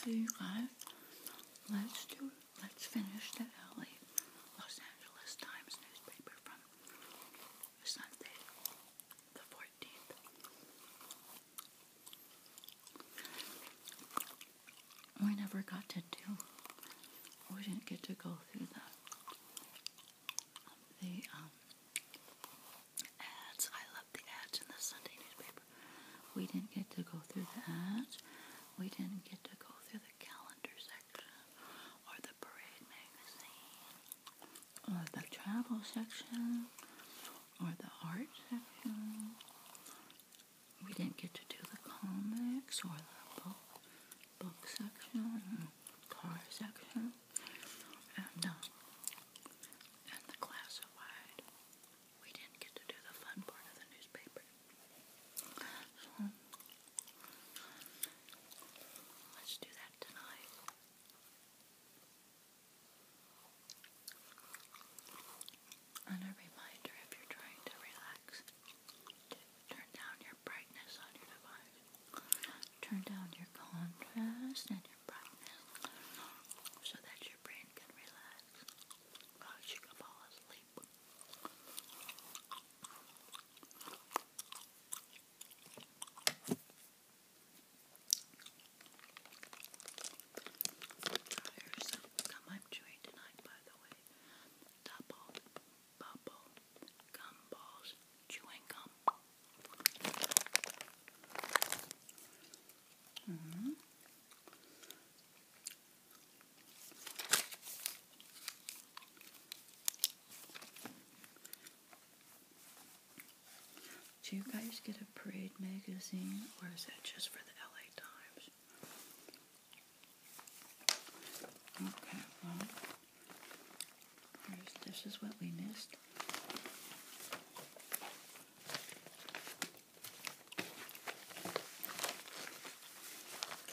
So you guys, let's do let's finish the LA Los Angeles Times newspaper from Sunday the 14th. We never got to do we didn't get to go through the um, ads. I love the ads in the Sunday newspaper. We didn't get to go through the ads. We didn't get to go through the calendar section or the parade magazine or the travel section or the art section. We didn't get to do the comics or the book, book section, car section, and, uh, and the classified we didn't get to do the fun part of the newspaper. So, let's do that tonight. And a reminder if you're trying to relax, turn down your brightness on your device. Turn down your contrast and your brightness so that your brain can relax. Cause you can fall asleep. There's I'm chewing tonight, by the way. Double, bubble, gumballs, chewing gum. Mm-hmm. Do you guys get a Parade magazine, or is that just for the LA Times? Okay, well, this is what we missed.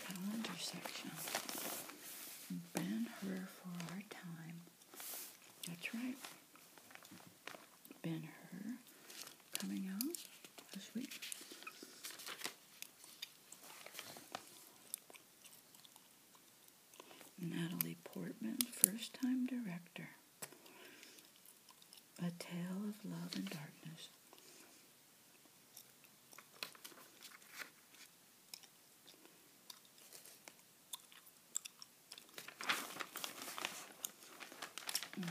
Calendar section. Ben Hur for Our Time. That's right. Ben Hur coming out this week. Natalie Portman, first time director. A Tale of Love and Darkness. Mm.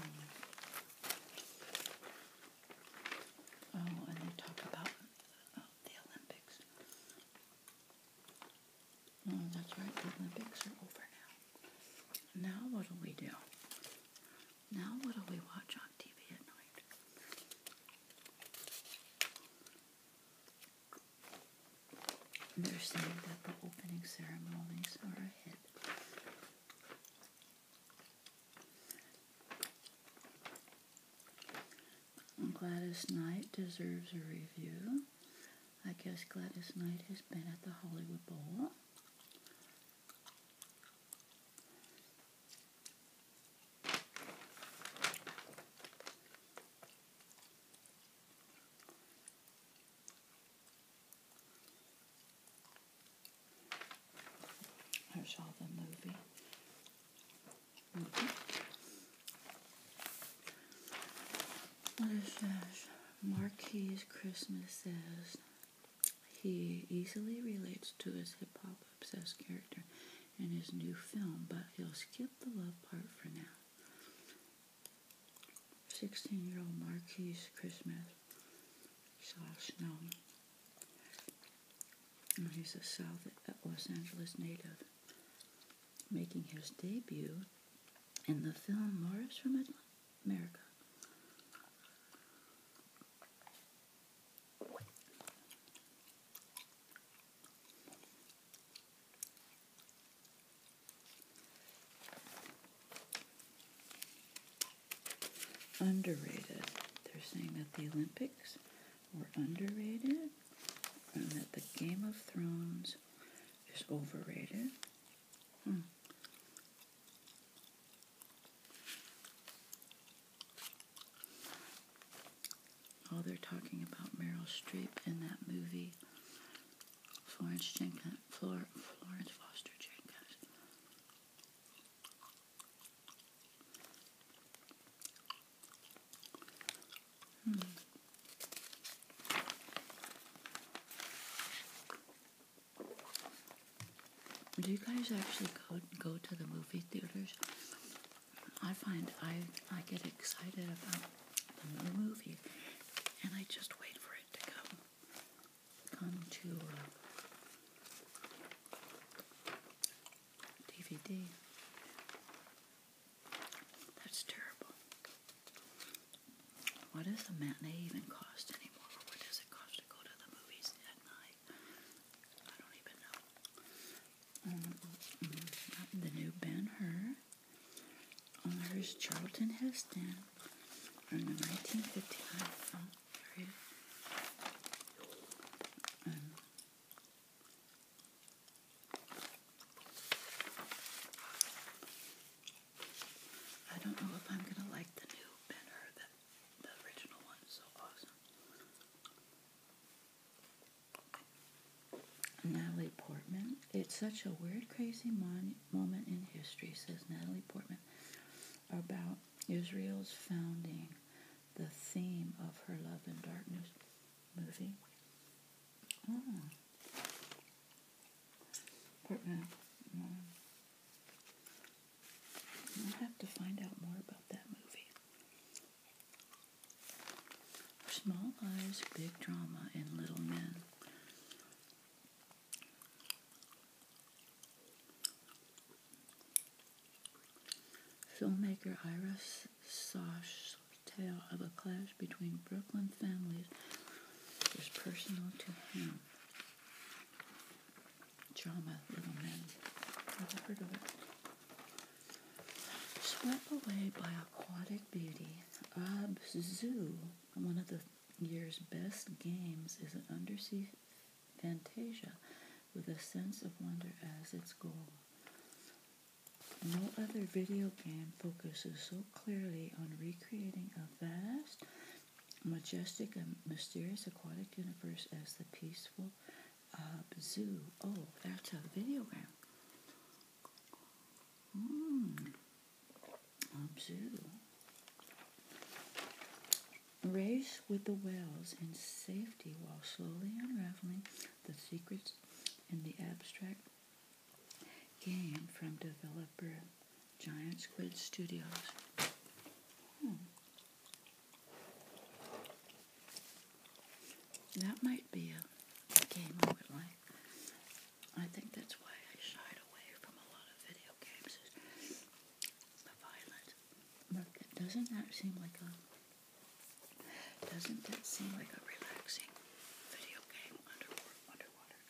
Oh, and they talk about uh, the Olympics. Oh, that's right. The Olympics are over now. Now what do we do? Now what do we watch on TV at night? They're saying that the opening ceremonies are ahead. Gladys Knight deserves a review. I guess Gladys Knight has been at the Hollywood Bowl. I saw the movie. Mm-hmm. What is Christmas says he easily relates to his hip hop obsessed character in his new film, but he'll skip the love part for now. 16 year old Marquis Christmas saw snow. he's a South Los Angeles native, making his debut in the film Morris from America. Underrated. They're saying that the Olympics were underrated and that the Game of Thrones is overrated. Hmm. Oh, they're talking about Meryl Streep in that movie. Florence Jenkins, Florence Foster Jenkins. Hmm. Do you guys actually go go to the movie theaters? I find I I get excited about the movie, and I just wait for it to come come to DVD. Uh, that's terrible. What does the matinee even cost anymore? What does it cost to go to the movies at night? I don't even know. Um, mm-hmm. the new Ben Hur. Oh, there's Charlton Heston from the 1959 I don't know if I'm gonna like the new Ben That the original one is so awesome. Natalie Portman. It's such a weird, crazy moment in history, says Natalie Portman, about Israel's founding. The theme of her Love and Darkness movie. Oh i have to find out more about that movie. Small eyes, Big Drama, and Little Men. Filmmaker Iris sosh tale of a clash between Brooklyn families was personal to him. Drama, Little Men. Never Swept away by aquatic beauty, Abzu, one of the year's best games, is an undersea fantasia with a sense of wonder as its goal. No other video game focuses so clearly on recreating a vast, majestic, and mysterious aquatic universe as the peaceful uh, zoo. Oh, that's a video game. Mmm. Race with the whales in safety while slowly unraveling the secrets in the abstract game from developer Giant Squid Studios. Hmm. That might be a game I think that's why I shied away from a lot of video games. The violence. Look, doesn't that seem like a doesn't that seem like a relaxing video game underwater? underwater?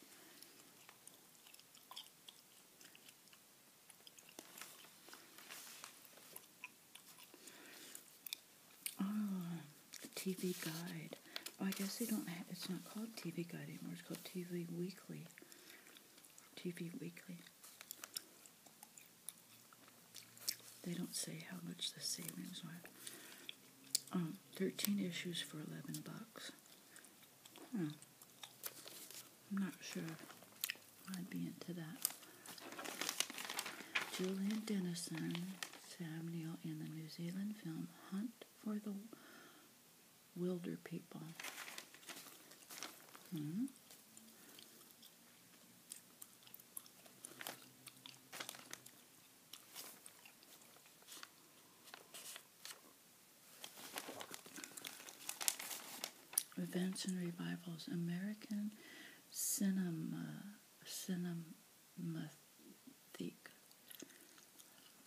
Ah, TV Guide. Oh, I guess they don't have, it's not called TV Guide anymore, it's called TV Weekly. TV Weekly. They don't say how much the savings were. Um, 13 issues for 11 bucks. I'm not sure I'd be into that. Julian Dennison, Sam Neill in the New Zealand film Hunt for the Wilder People. Hmm? Events and revivals. American cinema, cinematheque,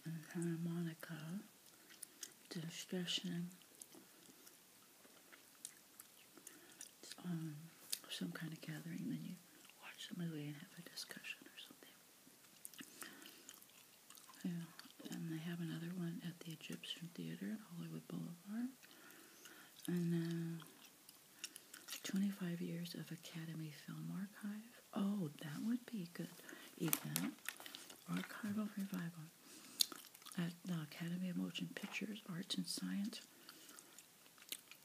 and harmonica discussion um, some kind of gathering, then you watch the movie and have a discussion or something. and they have another one at the Egyptian Theater at Hollywood Boulevard. And then uh, 25 years of Academy Film Archive. Oh, that would be good event. Archival Revival at the Academy of Motion Pictures, Arts and Science.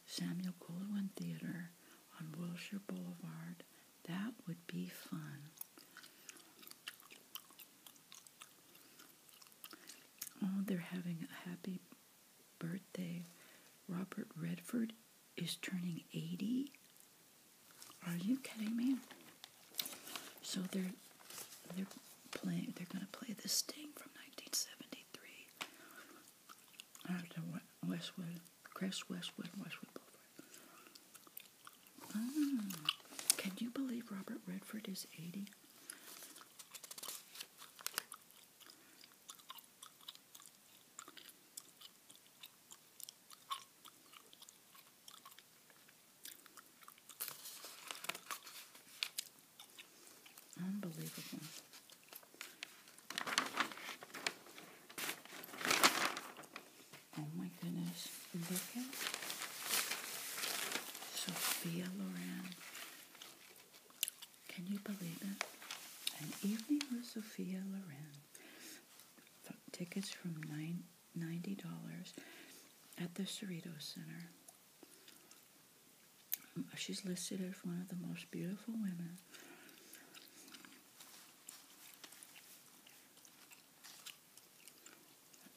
Samuel Goldwyn Theater on Wilshire Boulevard. That would be fun. Oh, they're having a happy birthday. Robert Redford is turning 80. Are you kidding me? So they're they're playing they're going to play The sting from 1973 after Westwood, Chris Westwood, Westwood Boulevard. can you believe Robert Redford is 80? Unbelievable. Oh my goodness. Look at Sophia Loren. Can you believe it? An evening with Sophia Loren. Tickets from nine, $90 at the Cerritos Center. She's listed as one of the most beautiful women.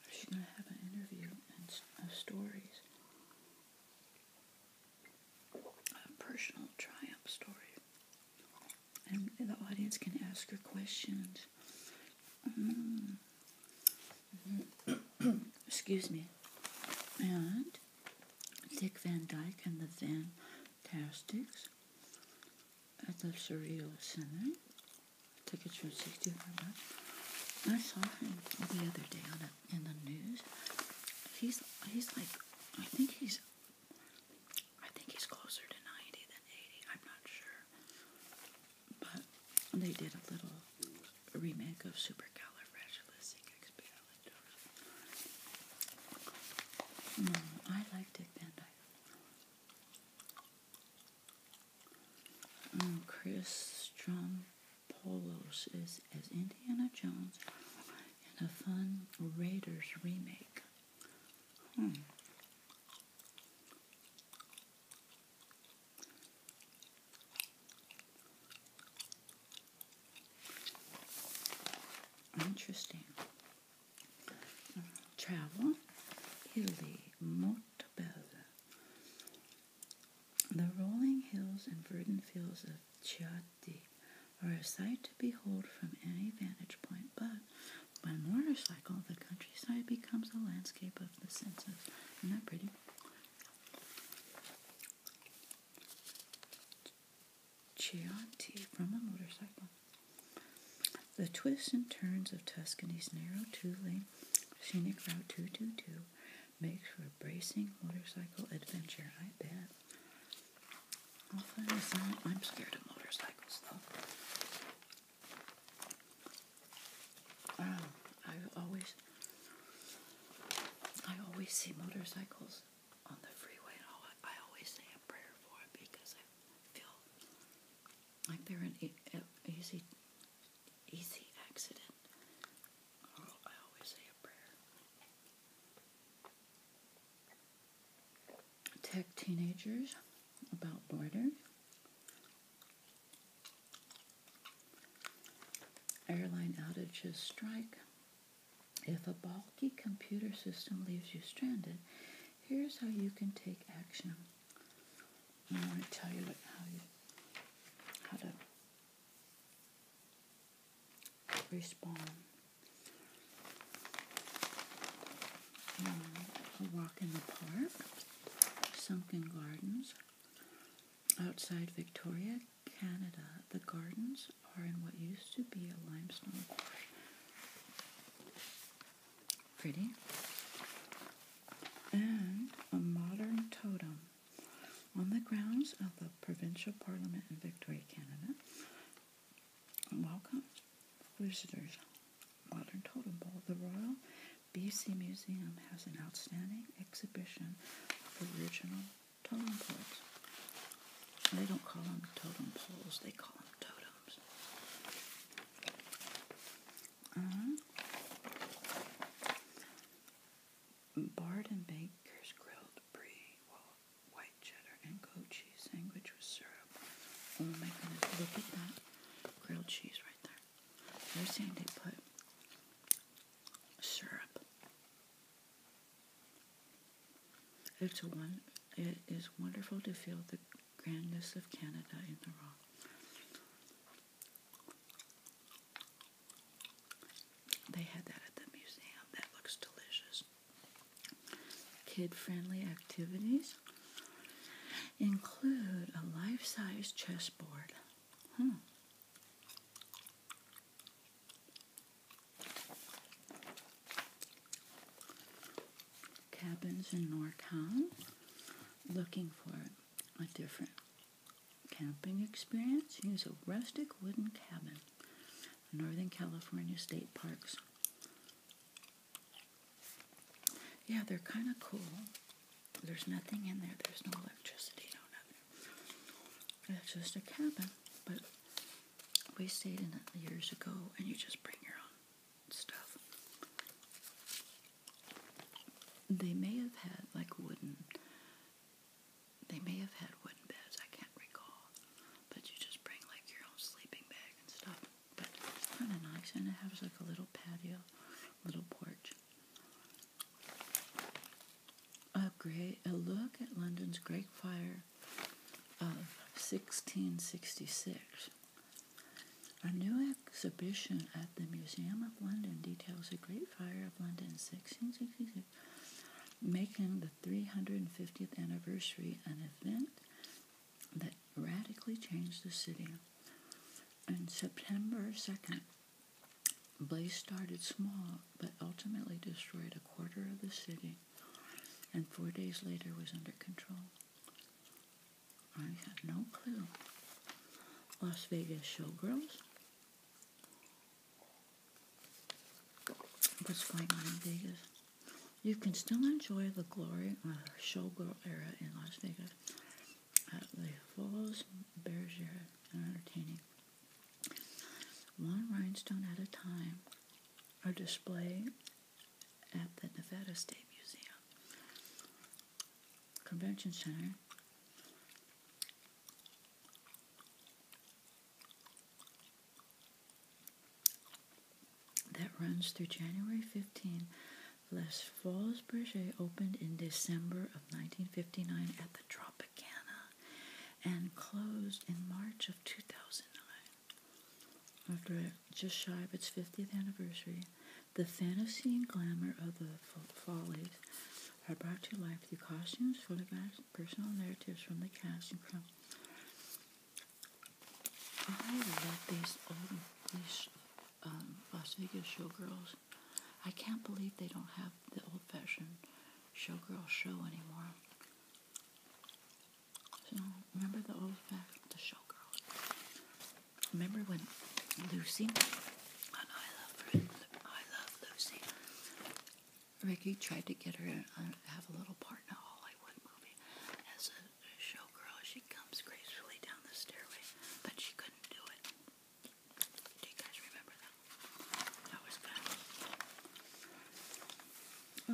She's going to have an interview and stories, a personal triumph story. And the audience can ask her questions. Mm. Excuse me. And Dick Van Dyke and the Van Fantastics at the Surreal Center. Tickets for 65 I saw him the other day on in the news. He's he's like I think he's I think he's closer to 90 than 80. I'm not sure. But they did a little a remake of Supercalifragilisticexpialidocious. No, mm, I like Dick Van Dyke. Um, mm, Chris Strompolos is as Indiana Jones in a fun Raiders remake. Hmm. Interesting. Traveling Italy, Montebello. The rolling hills and verdant fields of Chianti are a sight to behold from any vantage point, but by motorcycle, the countryside becomes a landscape of the senses. Isn't that pretty? Chianti from a motorcycle. The twists and turns of Tuscany's narrow two-lane scenic route 222 makes for a bracing motorcycle adventure, I bet. i I'm scared of motorcycles, though. I always, I always see motorcycles on the freeway, I always say a prayer for it because I feel like they're an easy, easy accident. Oh, I always say a prayer. Tech teenagers about borders. Airline outages strike. If a bulky computer system leaves you stranded, here's how you can take action. I want to tell you how you how to respond. Um, a walk in the park, sunken gardens, Outside Victoria, Canada, the gardens are in what used to be a limestone quarry. Pretty. And a modern totem. On the grounds of the Provincial Parliament in Victoria, Canada, Welcome, visitors. Modern totem pole. The Royal BC Museum has an outstanding exhibition of original totem poles. They don't call them totem poles, they call them totems. Uh-huh. Bard and Baker's grilled brie, white cheddar, and goat cheese sandwich with syrup. Oh my goodness, look at that grilled cheese right there. They're saying they put syrup. It's a one. It is wonderful to feel the grandness of Canada in the raw. They had that at the museum. That looks delicious. Kid-friendly activities include a life-size chessboard, Hmm. Cabins in Norcom looking for a different camping experience. Use a rustic wooden cabin. Northern California State Parks. Yeah, they're kind of cool. There's nothing in there. There's no electricity, no nothing. It's just a cabin, but we stayed in it years ago, and you just bring your own stuff. They may have had like wooden. They may have had wooden beds. I can't recall, but you just bring like your own sleeping bag and stuff. But it's kind of nice, and it has like a little patio, little porch. A, great, a look at London's Great Fire of 1666. A new exhibition at the Museum of London details the Great Fire of London 1666, making the 350th anniversary an event that radically changed the city. On September 2nd, blaze started small but ultimately destroyed a quarter of the city and four days later was under control. I had no clue. Las Vegas Showgirls what's going on in Vegas. You can still enjoy the glory of the showgirl era in Las Vegas the Falls, Bergeret, and entertaining. One rhinestone at a time are displayed at the Nevada State Museum Convention Center. That runs through January 15, Les Folies Brigade opened in December of 1959 at the Tropicana and closed in March of 2009. After just shy of its 50th anniversary, the fantasy and glamour of the Follies are brought to life through costumes, photographs, personal narratives from the cast and crew um, Las Vegas showgirls. I can't believe they don't have the old-fashioned showgirl show anymore. So remember the old-fashioned the showgirls. Remember when Lucy on I Love I Love Lucy, Ricky tried to get her to have a little part in a Hollywood movie as a showgirl. She comes gracefully down the stairway, but she couldn't do it. Do you guys remember that? That was fun.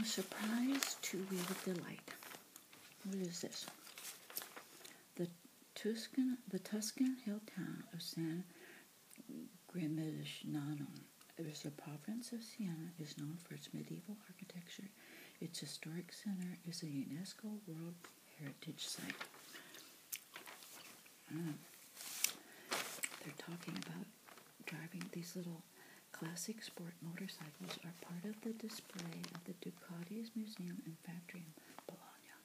A surprise two-wheel delight. What is this? The Tuscan, the Tuscan hill town of San Gimignano. It is a province of Siena is known for its medieval architecture. Its historic center is a UNESCO World heritage site. Ah. they're talking about driving these little classic sport motorcycles are part of the display at the Ducati's Museum and Factory in Bologna.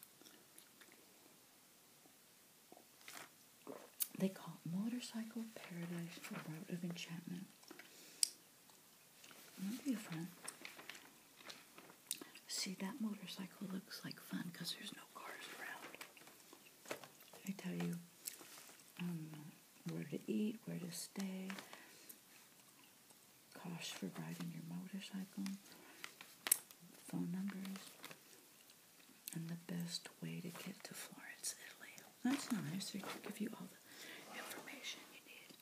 They call it Motorcycle Paradise, a Route of Enchantment. That'd be fun. See, that motorcycle looks like fun because there's no cars around. I tell you um, where to eat, where to stay, costs for riding your motorcycle, phone numbers, and the best way to get to Florence, Italy. That's nice. They give you all the information you need.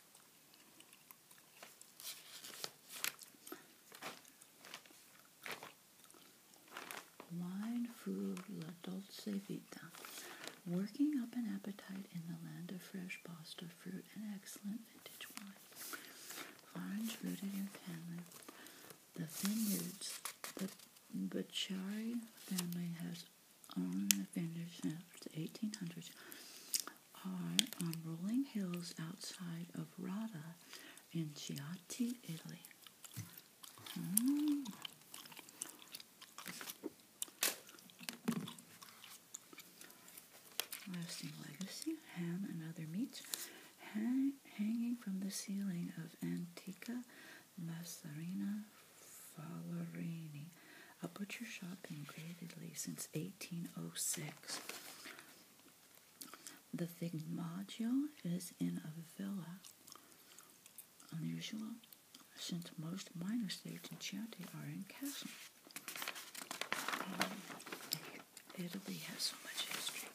Wine food la dolce vita. Working up an appetite in the land of fresh pasta, fruit, and excellent vintage wine. Vines rooted in Canada. The vineyards, the Bacchari family has on the finish 1800s are on um, rolling hills outside of Rada in Chianti, Italy. Hmm. Lasting legacy, ham and other meats hanging from the ceiling of Antica Massarina Fallerini, a butcher shop in Great since 1806. The Vigmaggio is in a villa, unusual since most minor states in Chianti are in castle. Italy has so much history.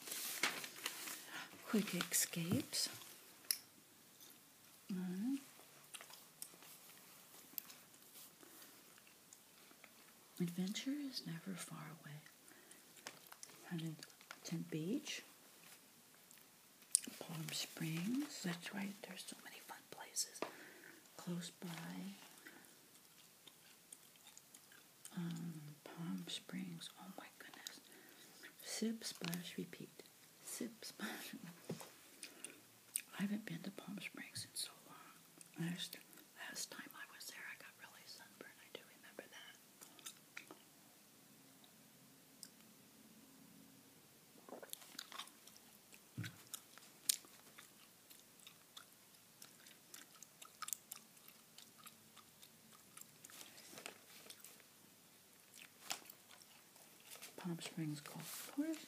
Quick escapes. Adventure is never far away. Huntington Beach, Palm Springs, that's right, there's so many fun places close by. Um, Palm Springs, oh my goodness. Sip, splash, repeat. Sip, splash. I haven't been to Palm Springs in so long. Last, last time I was there, I got really sunburned. I do remember that. Palm Springs Golf Course.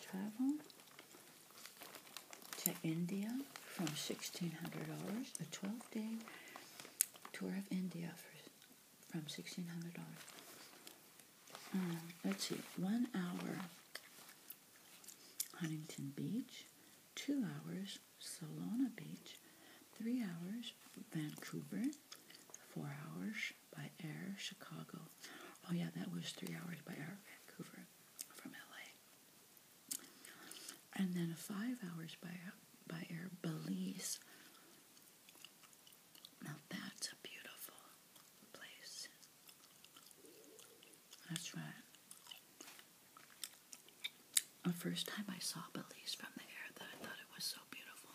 Travel to India from $1,600, a 12 day tour of India for, from $1,600. Um, let's see, one hour Huntington Beach, two hours Solana Beach, three hours Vancouver, four hours by air, Chicago. Oh yeah, that was three hours by air, Vancouver from LA. And then five hours by, by air, Belize. Now that's a beautiful place. That's right. The first time I saw Belize from the air that I thought it was so beautiful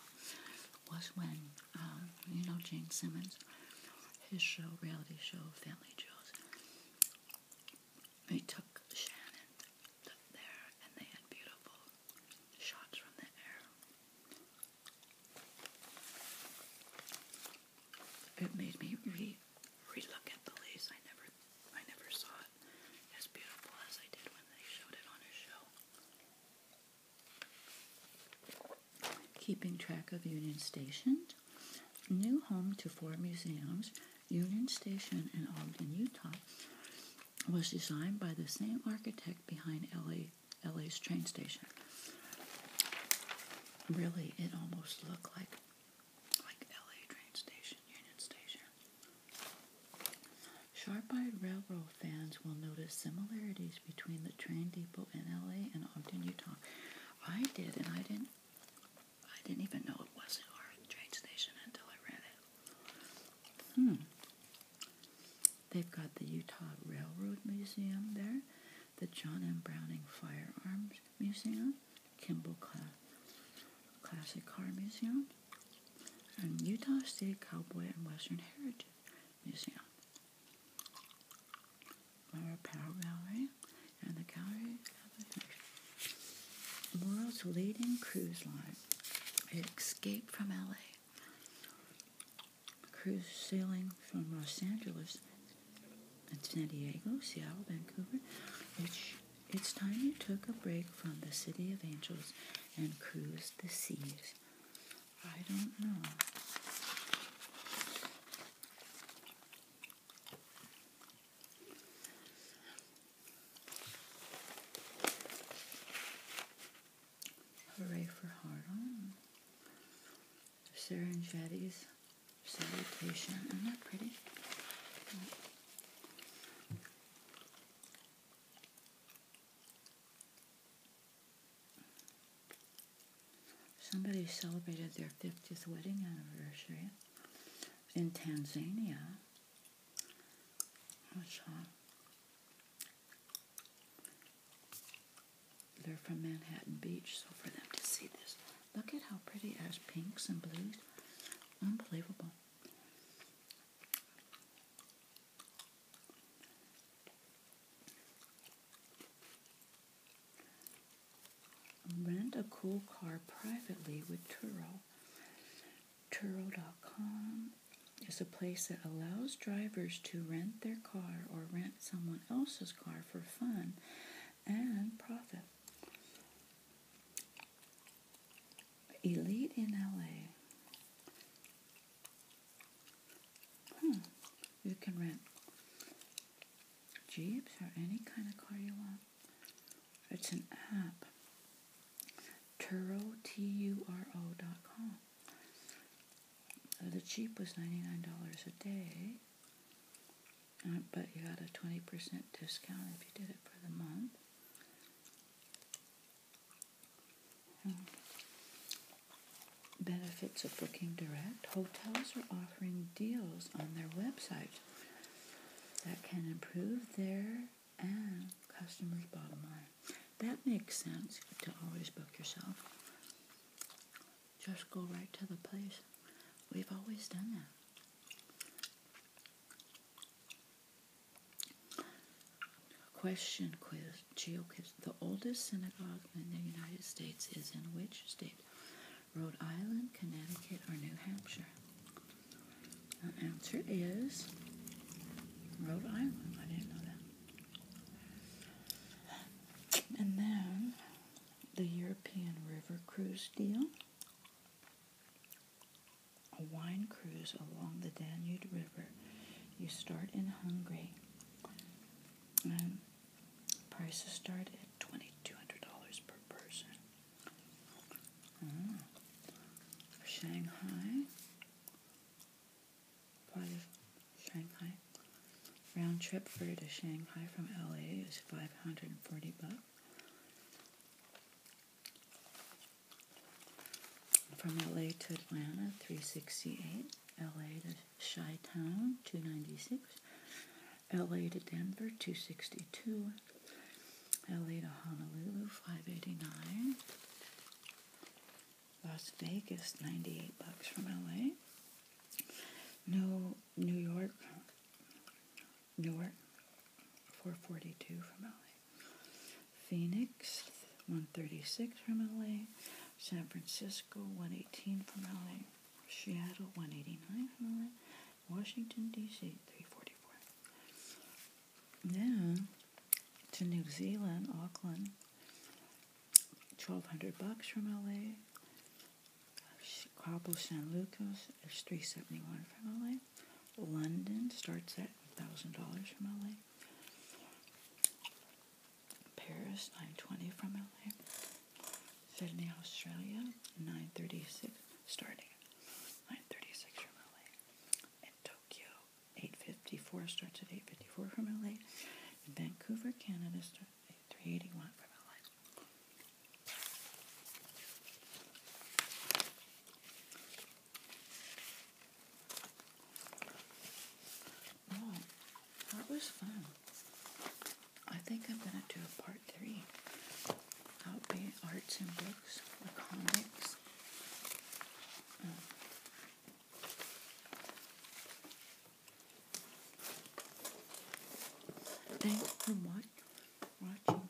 was when um, you know Gene Simmons, his show, reality show, Family Jewels. They took Shannon up there, and they had beautiful shots from the air. It made me re re-look at the lace. I never, I never saw it as beautiful as I did when they showed it on a show. Keeping track of Union Station, new home to four museums, Union Station in Ogden, Utah, was designed by the same architect behind LA, LA's train station. Really, it almost looked like like LA train station, Union Station. Sharp-eyed railroad fans will notice similarities between the train depot in LA and Ogden, Utah. I did, and I didn't I didn't even know it was a train station until I read it. Hmm. They've got the Utah Railroad Museum there, the John M. Browning Firearms Museum, Kimball Classic Car Museum, Utah State Cowboy and Western Heritage Museum. Mara Power Gallery and the Gallery world's leading cruise line. It escaped from LA. Cruise sailing from Los Angeles and San Diego, Seattle, Vancouver. It's, it's time you took a break from the City of Angels and cruised the seas. I don't know. Hooray for hard on. Serengeti's salutation. Isn't pretty? Somebody celebrated their 50th wedding anniversary in Tanzania. they're from Manhattan Beach, so for them to see this. Look at how pretty it has pinks and blues. Unbelievable. Rent a cool car privately with Turo. Turo.com is a place that allows drivers to rent their car or rent someone else's car for fun and profit. Elite in LA. Hmm. You can rent Jeeps or any kind of car you want. It's an app. Turo, T-U-R-O dot com. Uh, the Jeep was $99 a day, uh, but you got a 20% discount if you did it for the month. Hmm. benefits of Booking Direct. Hotels are offering deals on their website that can improve their and customers' bottom line. That makes sense to always book yourself. Just go right to the place. We've always done that. Question quiz, GeoQuiz. The oldest synagogue in the United States is in which state? Rhode Island, Connecticut, or New Hampshire? The answer is Rhode Island. I didn't know that. And then the European River Cruise deal a wine cruise along the Danube River. You start in Hungary. Um, prices start at twenty two hundred dollars per person. Ah. Shanghai, part Shanghai. Round trip fare to Shanghai from LA is five hundred and forty bucks. From LA to Atlanta, 368. LA to Chi Town, 296. LA to Denver, 262. LA to Honolulu, 589. Las Vegas, 98 bucks from LA. No New York, Newark, 442 from LA. Phoenix, 136 from LA. San Francisco, 118 from LA. Seattle, 189 from LA. Washington, D.C., 344. Then to New Zealand, Auckland, 1200 bucks from LA. Cabo San Lucas is 371 from LA. London starts at $1,000 from LA. Paris, 920 from LA. Sydney, Australia, 936 starting. 936 from LA. And Tokyo, 854 starts at 854 from LA. And Vancouver, Canada starts at 381 from LA. Oh, that was fun. I think I'm going to do a part three. arts and books comics. thanks for watching.